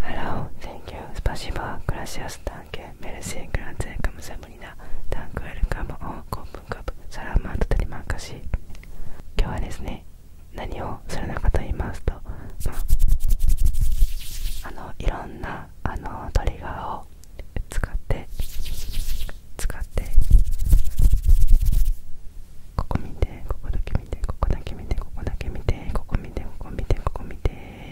Hello, thank you, спасибо, gracias, danke, merci, grazie, камзамуна, danke, welcome, on, open cup, салам, а とりまかし。今日はですね、何をするのかと言いますと、まあ、あのいろんなあのトリガーを使って使ってここ見てここだけ見てここだけ見てここだけ見てここ見てここ見てここ見て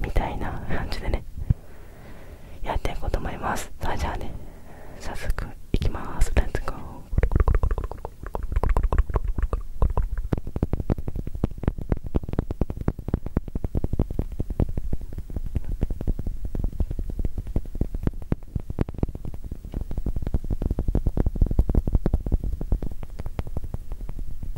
みたいな感じでねやっていこうと思いますそれじゃあね早速いきますレッツゴー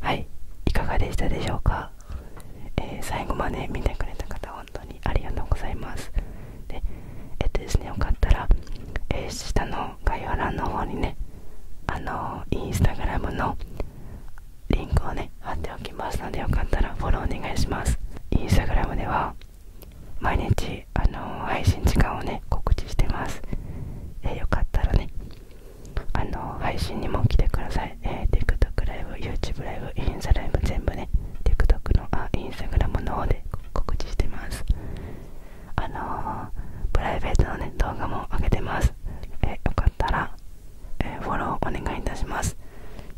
はいいかがでしたでしょうか、えー、最後まで見てくれた方本当にありがとうございますでえっとですねよかったら、えー、下の概要欄の方にねあのインスタグラムのリンクをね貼っておきますのでよかったらフォローお願いしますインスタグラムでは毎日あの配信時間をね告知してますえよかったらねあの配信にも来てください、え TikTok ライブ YouTube ライブインスタライブ全部ね TikTok のあインスタグラムの方で告知してますあのプライベートのね動画も上げてますえよかったら、えフォローお願いいたします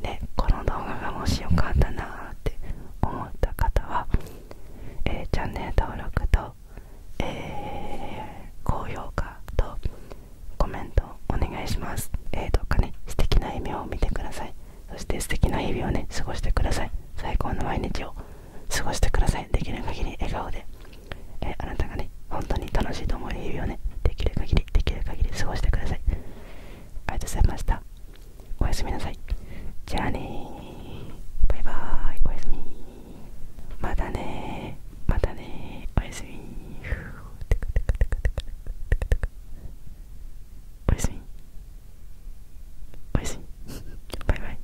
でこの動画がもしよかったなーって思った方は、えチャンネル登録と、え高評価とコメントお願いしますえどうかね素敵な夢を見てくださいそして素敵な日々をね過ごしてください最高の毎日を過ごしてくださいできる限り笑顔で、えあなたがね本当に楽しいと思うるようねできる限りできる限り過ごしてくださいありがとうございましたおやすみなさいじゃあねバイバーイおやすみまたねまたねおやすみおやすみおやすみバイバイ